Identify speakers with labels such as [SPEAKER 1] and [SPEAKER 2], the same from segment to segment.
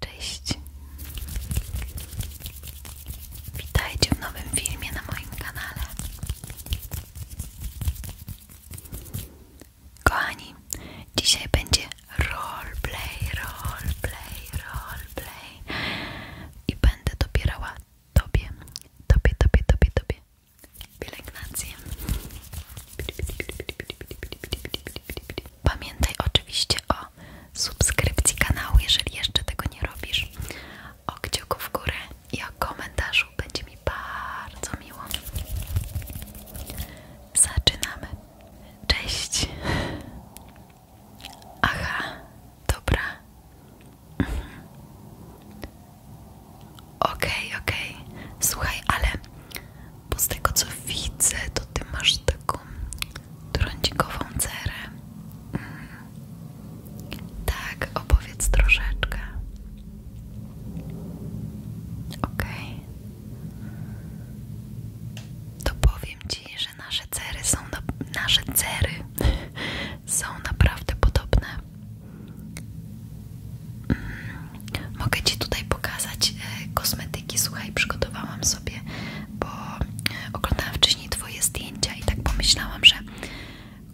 [SPEAKER 1] Cześć! Witajcie w nowym filmie na moim kanale. Kochani, dzisiaj będzie roleplay, roleplay, roleplay i będę dobierała tobie, tobie, tobie, tobie, tobie pielęgnację. Pamiętaj oczywiście o subskrypcji kanału, jeżeli jeszcze tego nie robisz, o kciuku w górę i o komentarzu, będzie mi bardzo miło. Zaczynamy. Cześć. Aha, dobra. Ok, mhm. ok. Słuchaj, ale bo z tego co widzę, to ty masz taką trądzikową cerę. Mm. Tak, opowiedz troszeczkę. OK. To powiem ci, że nasze cery są nasze cery są naprawdę podobne. Mm. Mogę ci tutaj pokazać e, kosmetyki. Słuchaj, przygotowałam sobie, bo e, oglądałam wcześniej Twoje zdjęcia i tak pomyślałam, że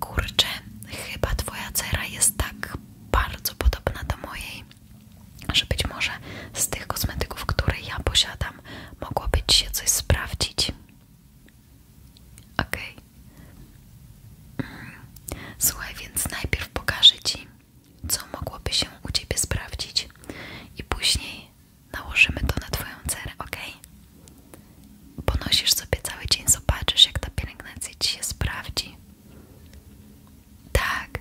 [SPEAKER 1] kurcze, chyba Twoja cera jest tak bardzo podobna do mojej, że być może z tych kosmetyków, które ja posiadam, mogłoby Ci się coś sprawdzić. Okej. Okay. Mm. Słuchaj, więc najpierw pokażę Ci co mogłoby się u Ciebie sprawdzić i później nałożymy to na Twoją cerę, ok? Ponosisz sobie cały dzień, zobaczysz jak ta pielęgnacja Ci się sprawdzi. Tak,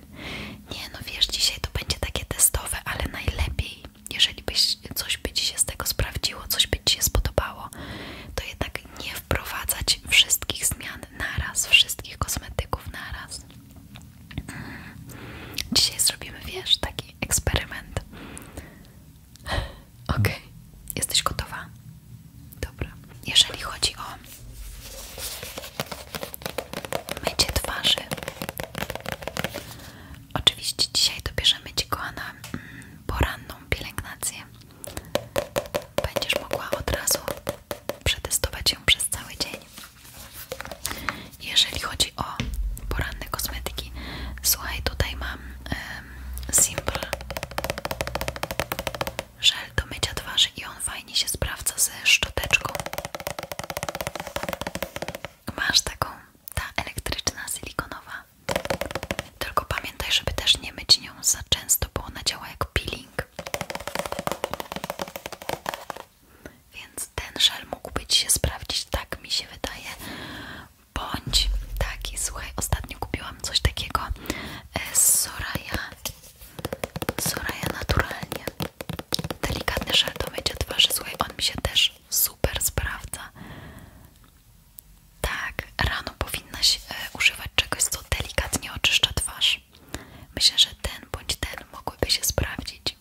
[SPEAKER 1] nie no wiesz, dzisiaj to będzie takie testowe, ale najlepiej, jeżeli byś, coś by Ci się z tego sprawdziło, coś by Ci się spodobało, to jednak nie wprowadzać wszystkich zmian naraz, wszystkich kosmetyków naraz. Dzisiaj zrobimy, wiesz, taki eksperyment. OK, jesteś gotowa? Dobra. Jeżeli chodzi o mycie twarzy, oczywiście dzisiaj dobierzemy Ci, kochana, mm, poranną pielęgnację. Będziesz mogła od razu przetestować ją przez cały dzień. Jeżeli chodzi o poranne kosmetyki, słuchaj, tutaj mam um, Simple żel do mycia twarzy i on fajnie się sprawdza ze szczoteczką. Masz taką, ta elektryczna, silikonowa. Tylko pamiętaj, żeby też nie myć nią za często, bo ona działa jak peeling. Więc ten żel mógłby Ci się sprawdzić, tak mi się wydaje. Bądź taki, słuchaj, ostatnio kupiłam coś takiego z e, Soraya. Soraya naturalnie. Delikatny żel do mycia twarzy, słuchaj, on mi się też super sprawdza. Tak, rano powinnaś e, używać czegoś, co delikatnie oczyszcza twarz. Myślę, że ten bądź ten mogłyby się sprawdzić.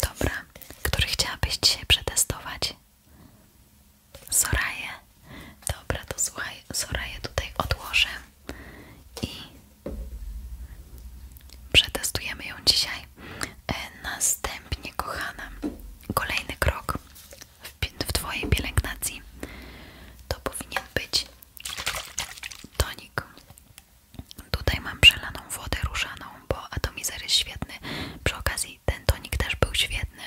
[SPEAKER 1] Dobra, który chciałabyś dzisiaj przetestować? Soraję. Dobra, to słuchaj, Soraję tutaj odłożę i przetestujemy ją dzisiaj. E, następnie, kochana, kolejny krok w Twojej pielęgnacji to powinien być tonik. Tutaj mam przelaną wodę różaną, bo atomizer jest świetny. Przy okazji ten tonik też był świetny,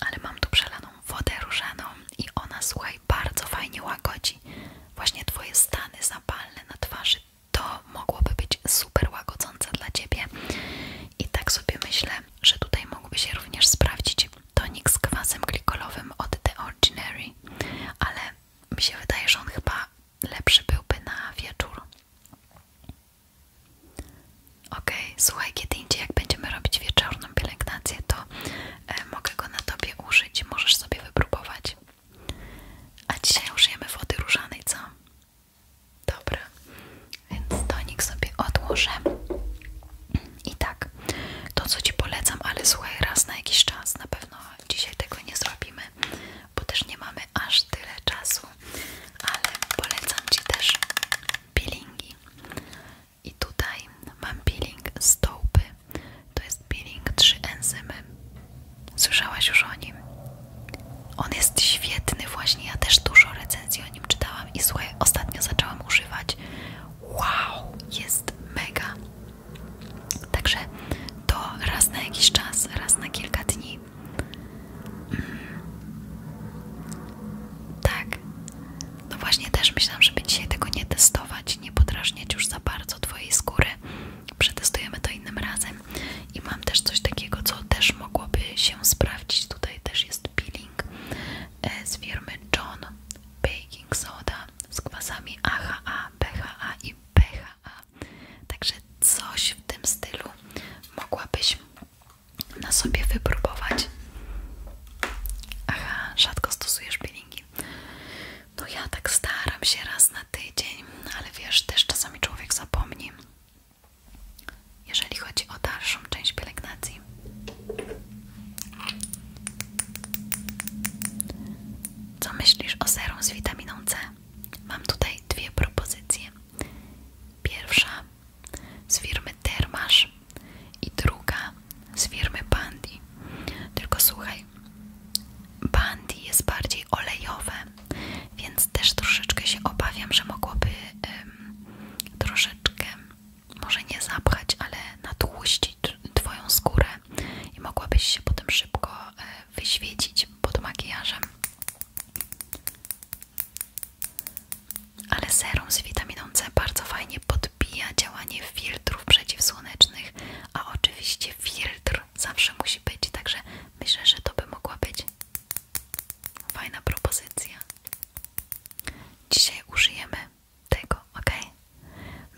[SPEAKER 1] ale mam tu przelaną wodę różaną i ona, słuchaj, bardzo fajnie łagodzi. Właśnie twoje stany zapalne na twarzy to mogłoby być super łagodzące dla ciebie. I tak sobie myślę, że tutaj mogłyby się również sprawdzić tonik z kwasem glikolowym od The Ordinary, ale mi się wydaje, że on chyba lepszy byłby na wieczór. Okej, słuchaj, kiedy indziej jak będziemy robić wieczorną pielęgnację, to e, mogę go na tobie użyć, możesz sobie wypróbować. A dzisiaj użyjemy wody różanej, co? Dobra, więc tonik sobie odłożę. I tak, to co Ci polecam, ale słuchaj, raz na jakiś czas, na pewno dzisiaj tego nie zrobimy, bo też nie mamy aż tyle czasu, ale polecam Ci też peelingi. I tutaj mam peeling z tołpy, to jest peeling trzy enzymy. Słyszałaś już o nim? On jest świetny właśnie, ja też dużo recenzji o nim czytałam i słuchaj, ostatnio zaczęłam używać wow, jest mega. Także to raz na jakiś czas, raz na kilka dni. Mm. Tak. No właśnie też myślałam, żeby dzisiaj tego nie testować, nie podrażniać już za bardzo twojej skóry. Przetestujemy to innym razem. I mam też coś takiego, co też mogłoby się sprawdzić. Tutaj też jest jest peeling e, z firmy John Baking Soda z kwasami AHA, BHA i PHA. Także coś w tym stylu mogłabyś na sobie wypróbować. Aha, rzadko stosujesz peelingi. No ja tak staram się raz na tydzień, ale wiesz, też czasami człowiek zapomni. Jeżeli chodzi o dalszą część pielęgnacji, co myślisz o serum z witaminą C? Mam tutaj dwie propozycje. Pierwsza z firmy Termasz i druga z firmy Bandy. Tylko słuchaj, Bandy jest bardziej olejowe, więc też troszeczkę się obawiam, że mogłoby troszeczkę może nie zapchać, ale nadłuścić Twoją skórę i mogłabyś się potem szybko e, wyświecić pod makijażem. Ale serum z witaminą C bardzo fajnie podbija działanie filtrów przeciwsłonecznych, a oczywiście filtr zawsze musi być, także myślę, że to by mogła być fajna propozycja. Dzisiaj użyjemy tego, ok?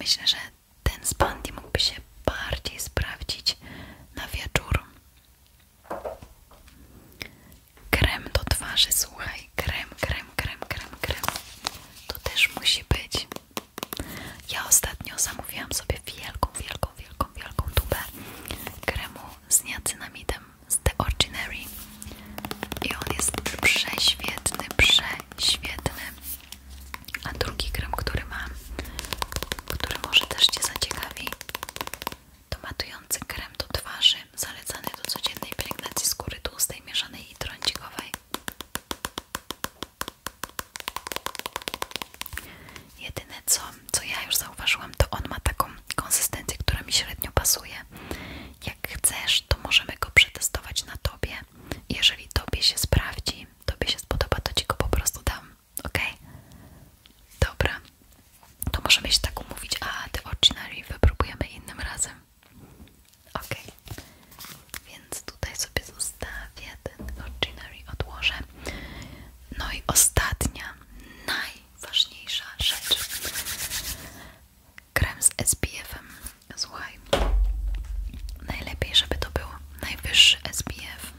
[SPEAKER 1] Myślę, że ten z Bandy mógłby się bardziej sprawdzić na wieczór. Krem do twarzy, słuchaj, krem, krem, krem, krem, krem. To też musi być. Ja ostatnio zamówiłam sobie wielką, wielką, wielką, wielką tubę kremu z niacinamidem z The Ordinary i on jest prześwietny, prześwietny a drugi krem, który mam który może też Cię zaciekawi to matujący krem do twarzy zalecany do codziennej pielęgnacji skóry tłustej, mieszanej i trącikowej Jedyne co, co ja już zauważyłam, to on ma taką konsystencję, która mi średnio pasuje. Jak chcesz, to możemy go przetestować na tobie. Jeżeli tobie się sprawdzi, tobie się spodoba, to ci go po prostu dam. Ok? Dobra. To możemy się tak umówić, a The Ordinary wypróbujemy innym razem. Ok. Więc tutaj sobie zostawię ten Ordinary, odłożę. No i ostatnia, najważniejsza rzecz krem z SPF-em. Słuchaj, najlepiej, żeby to był najwyższy SPF.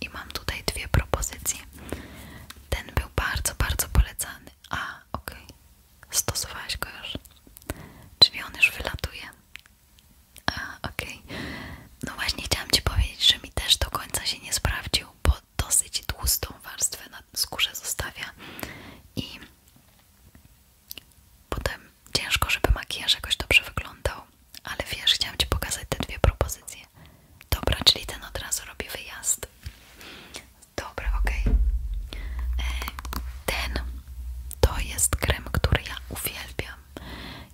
[SPEAKER 1] I mam tutaj dwie propozycje. Ten był bardzo, bardzo polecany. A, ok okay. stosowałaś go już. Czyli on już wylatuje. A, ok No właśnie chciałam Ci powiedzieć, że mi też do końca się nie sprawdził, bo dosyć tłustą warstwę na skórze zostawia i potem ciężko, żeby makijaż jakoś dobrze wyglądał, ale wiesz, chciałam Ci pokazać te dwie propozycje. Dobra, czyli ten od razu robi wyjazd. Dobra, ok. E, ten to jest krem, który ja uwielbiam.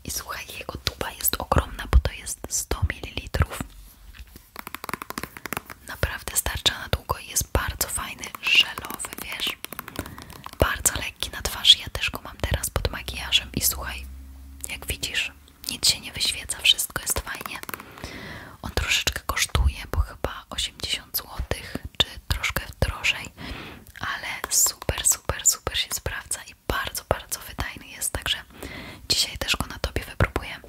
[SPEAKER 1] I słuchaj, jego tuba jest ogromna, bo to jest 100 ml. Naprawdę starczy na długo i jest bardzo fajny, żelowy, wiesz? Bardzo lekki na twarz. Ja też go mam teraz pod makijażem i słuchaj, jak widzisz, nic się nie wyświeca, wszystko jest fajnie. On troszeczkę kosztuje, bo chyba 80 zł, czy troszkę drożej, ale super, super, super się sprawdza i bardzo, bardzo wydajny jest. Także dzisiaj też go na tobie wypróbuję.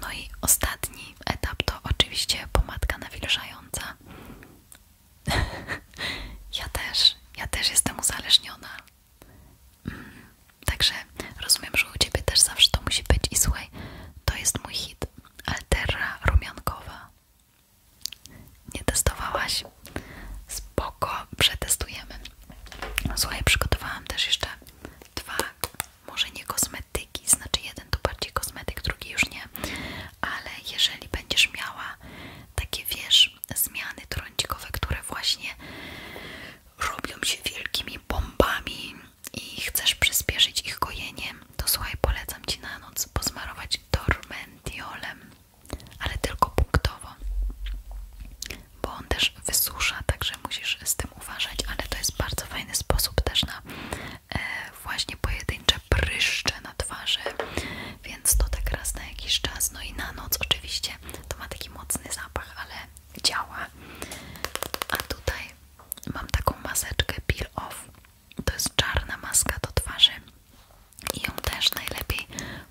[SPEAKER 1] No i ostatni etap to oczywiście pomadka nawilżająca. ja też, ja też jestem uzależniona. Mm, także rozumiem, że u Ciebie też zawsze to musi być i słuchaj, to jest mój hit. Altera rumiankowa. Nie testowałaś? Spoko, przetestujemy. Słuchaj, przygotowałam też jeszcze dwa może nie kosmetyki, znaczy jeden to bardziej kosmetyk, drugi już nie, ale jeżeli będziesz miała takie, wiesz, zmiany trącikowe, które właśnie robią się wielkimi bombami i chcesz przyspieszyć ich gojenie, to słuchaj, polecam Ci na noc pozmarować tormentiolem, ale tylko punktowo bo on też wysusza, także musisz z tym uważać, ale to jest bardzo fajny sposób też na e, właśnie pojedyncze pryszcze na twarzy, więc to tak raz na jakiś czas, no i na noc oczywiście, to ma taki mocny zapach, ale działa. A tutaj mam taką maseczkę Peel Off, to jest czarna maska do twarzy i ją też najlepiej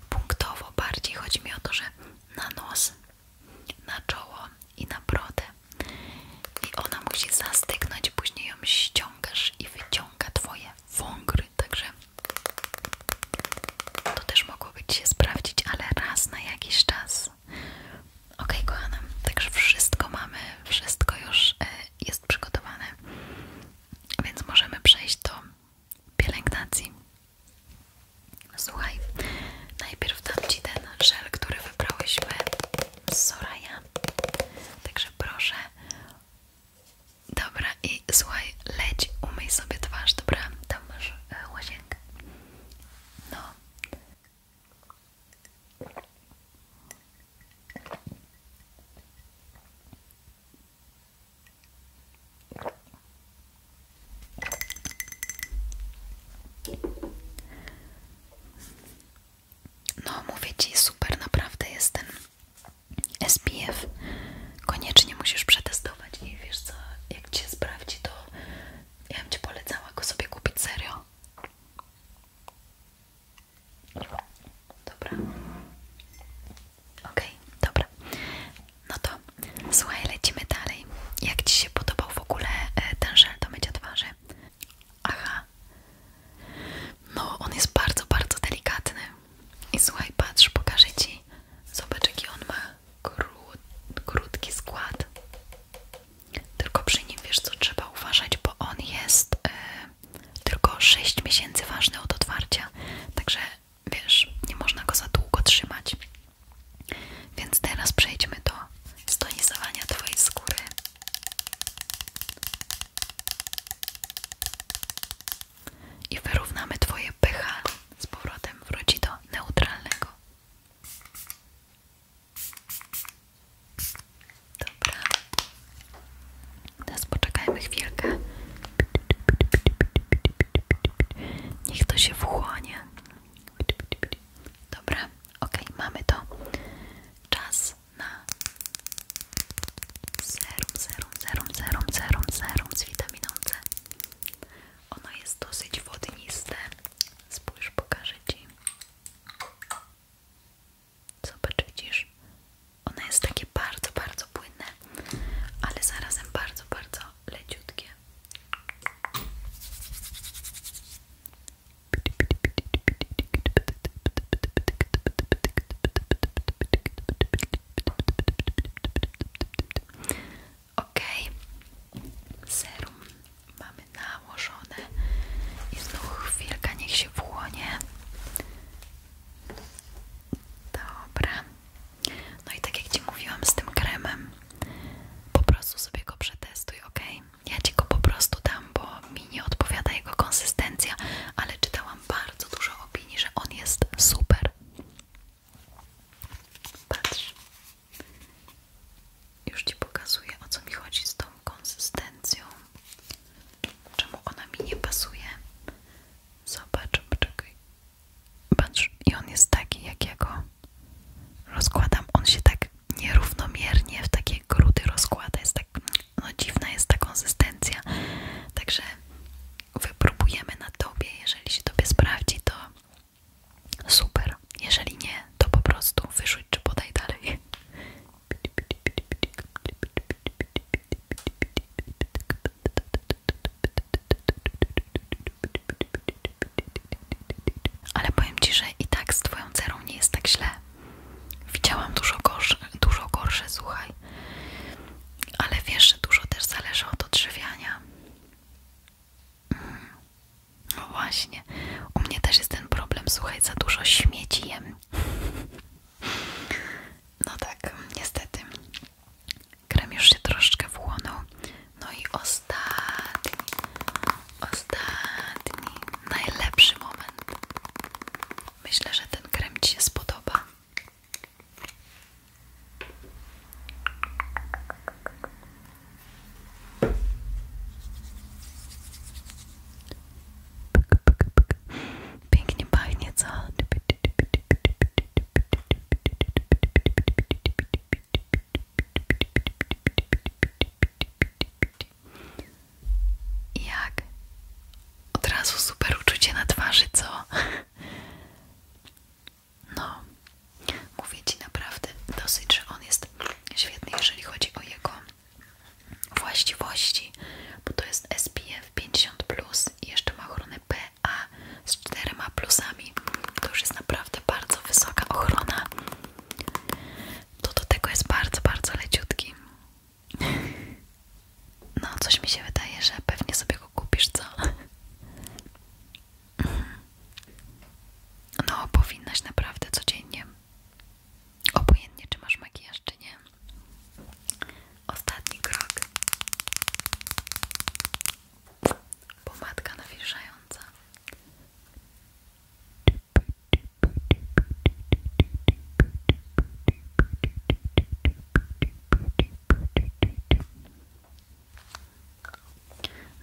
[SPEAKER 1] punktowo bardziej, chodzi mi o to, że na nos na czoło i na brodę i ona musi zastygnąć, później ją ściągasz i wyciąga twoje wągry, także to też mogłoby ci się sprawdzić, ale raz na jakiś czas. Ok, kochana, także wszystko mamy, wszystko już e, jest przygotowane, więc możemy przejść do pielęgnacji. Słuchaj, najpierw dam Ci ten żel, który wybrałyśmy z Soraya. Także proszę. Dobra, i słuchaj, leć, umyj sobie twarz, dobra? Tam masz e, łazienkę. No. No mówię Ci, super naprawdę jest ten SPF. Koniecznie musisz przetestować i wiesz co, jak Cię sprawdzi to ja bym Ci polecała go sobie kupić serio. Dobra. Okej, dobra. No to słuchaj, lecimy dalej. Jak Ci się podobał w ogóle e, ten żel do mycia twarzy? Aha. No, on jest bardzo, bardzo delikatny. I słuchaj, patrz, pokażę Ci. Zobacz, jaki on ma krót, krótki skład. Tylko przy nim, wiesz co, trzeba uważać, bo on jest... E, tylko 6 miesięcy ważny od otwarcia, także wiesz, nie można go za długo trzymać. Więc teraz przejdźmy do stonizowania Twojej skóry. I wyrównamy Twoje pH z powrotem wróci do neutralnego. Dobra. Teraz poczekajmy chwilkę. Niech to się wchłonie. Dobra, ok, mamy to. Czas na serum, serum, serum, serum, serum, serum z witaminą C. Ono jest dosyć wodniste. Spójrz, pokażę Ci. Zobacz, widzisz? Ono jest takie bardzo, bardzo płynne, ale zarazem bardzo, bardzo leciutkie. Ok, serum mamy nałożone i znów chwilkę niech się wchłonie. Dobra. No i tak jak Ci mówiłam z tym kremem, po prostu sobie go przetestuj, ok? Ja Ci go po prostu dam, bo mi nie odpowiada jego konsystencja, ale czytałam bardzo dużo opinii, że on jest super. Patrz. Już Ci pokazuję, o co mi chodzi z tą konsystencją. Czemu ona mi nie pasuje? Zobacz, czekaj. Patrz, i on jest taki, jak go rozkładam. On się tak nierównomiernie w takie grudy rozkłada. Jest tak, no dziwna jest ta konsystencja. Także wypróbujemy na tobie. Jeżeli się tobie sprawdzi, to super. Jeżeli nie, to po prostu wyrzuć czy podaj dalej. Ale powiem Ci, że i tak z Twoją cerą nie jest tak źle. Widziałam dużo gorsze, dużo gorsze, słuchaj. Ale wiesz, że dużo też zależy od odżywiania. Mm. No właśnie. U mnie też jest ten problem, słuchaj, za dużo śmieci jem. No tak, niestety. Krem już się troszkę wchłonął. No i ostatni, ostatni, najlepszy moment. Myślę, że ten krem Ci się spodoba. Pięknie pachnie, co? Typy, jak? Od razu super uczucie na twarzy, co? No, mówię Ci naprawdę dosyć, że on jest świetny, jeżeli chodzi o jego właściwości, bo to jest SPF 50+, i jeszcze ma ochronę P. A z czterema plusami to już jest naprawdę bardzo wysoka ochrona. To do tego jest bardzo, bardzo leciutki. No, coś mi się wydaje, że pewnie sobie go kupisz, co? No, powinnaś naprawdę codziennie. Obojętnie, czy masz makijaż, czy nie. Ostatni krok pomadka nawilżająca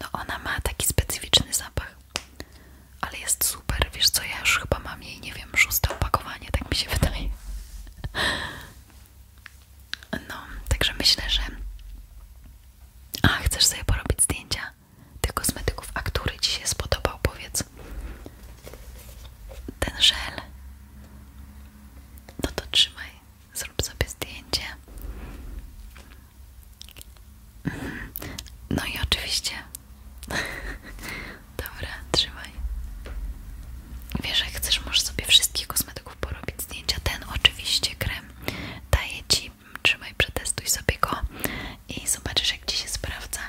[SPEAKER 1] no ona ma taki specyficzny zapach ale jest super, wiesz co, ja już chyba mam jej, nie wiem, szóste opakowanie, tak mi się wydaje no, także myślę, że. A, chcesz sobie porobić zdjęcia tych kosmetyków, a który Ci się spodobał, powiedz. Ten żel. No to trzymaj, zrób sobie zdjęcie. Mhm. No i oczywiście. Dobra, trzymaj. Wiesz, że chcesz, możesz sobie wszystkich kosmetyków porobić zdjęcia. Ten oczywiście krem daje Ci, trzymaj, przetestuj sobie go i zobaczysz, jak Ci się sprawdza.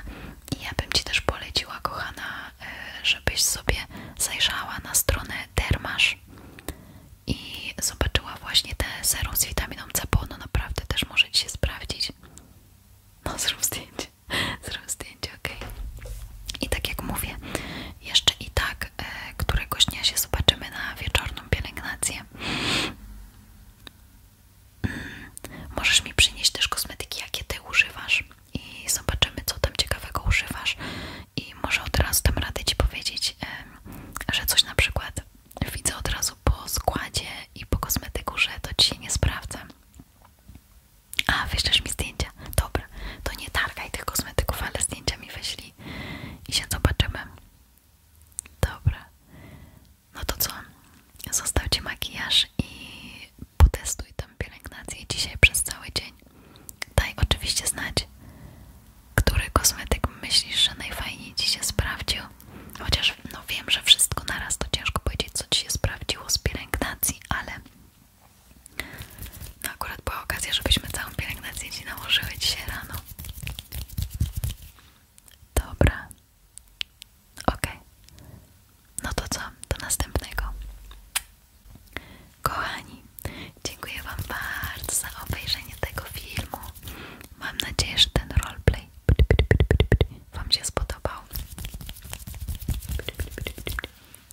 [SPEAKER 1] I ja bym Ci też poleciła, kochana, e, żebyś sobie zajrzała na stronę Dermasz i zobaczyła właśnie te serum z witaminą C, bo ono naprawdę też może Ci się sprawdzić. No zrób zdjęcie, zrób zdjęcie, ok. I tak jak mówię, jeszcze i tak e, któregoś dnia się zobaczymy na wieczorną pielęgnację. Mm, możesz mi przynieść też kosmetyki, jakie ty używasz i zobaczymy, co tam ciekawego używasz. I może od razu tam radę ci powiedzieć, że coś na przykład widzę od razu po składzie i po kosmetyku, że to ci się nie sprawdza. A, wyślesz mi zdjęcia? Dobra, to nie targaj tych kosmetyków, ale zdjęcia mi wyślij i się zobaczymy. Dobra. No to co? Zostawcie makijaż i potestuj tam pielęgnację dzisiaj przez cały dzień. Daj oczywiście znać, który kosmetyk myślisz, że najfajniej Ci się sprawdził. Chociaż no wiem, że wszystko naraz to ciężko powiedzieć, co Ci się sprawdziło z pielęgnacji, ale no akurat była okazja, żebyśmy całą pielęgnację Ci nałożyły dzisiaj rano. Dobra. Okej. No to co? Do następnego. Kochani, dziękuję Wam bardzo za obejrzenie tego filmu. Mam nadzieję, że ten roleplay Wam się spodobał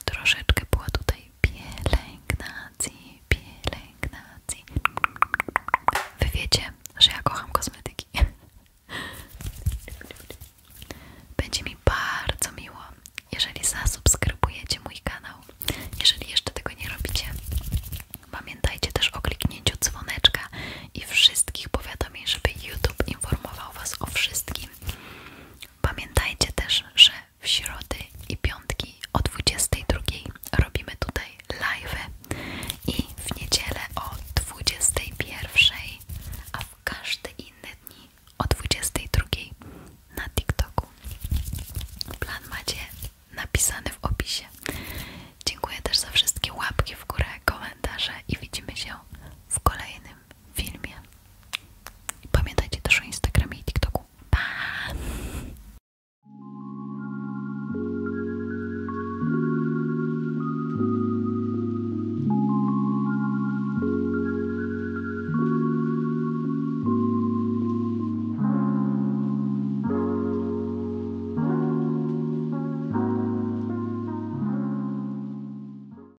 [SPEAKER 1] troszeczkę była tutaj pielęgnacji, pielęgnacji. Wy wiecie, że ja kocham kosmetyki. Będzie mi bardzo miło, jeżeli zasubskrybujecie mój kanał. Jeżeli jeszcze tego nie robicie, pamiętajcie też o kliknięciu dzwoneczka i wszystkich powiadomień, żeby YouTube informował Was o wszystkim, Pamiętajcie też, że w środy i piątki o 22 robimy tutaj live i w niedzielę o 21, a w każdy inny dni o 22 na TikToku. Plan macie napisany w opisie. Dziękuję też za wszystkie łapki w górę, komentarze i widzimy się w kolejnym filmie. I pamiętajcie też o Instagramie i TikToku. Pa!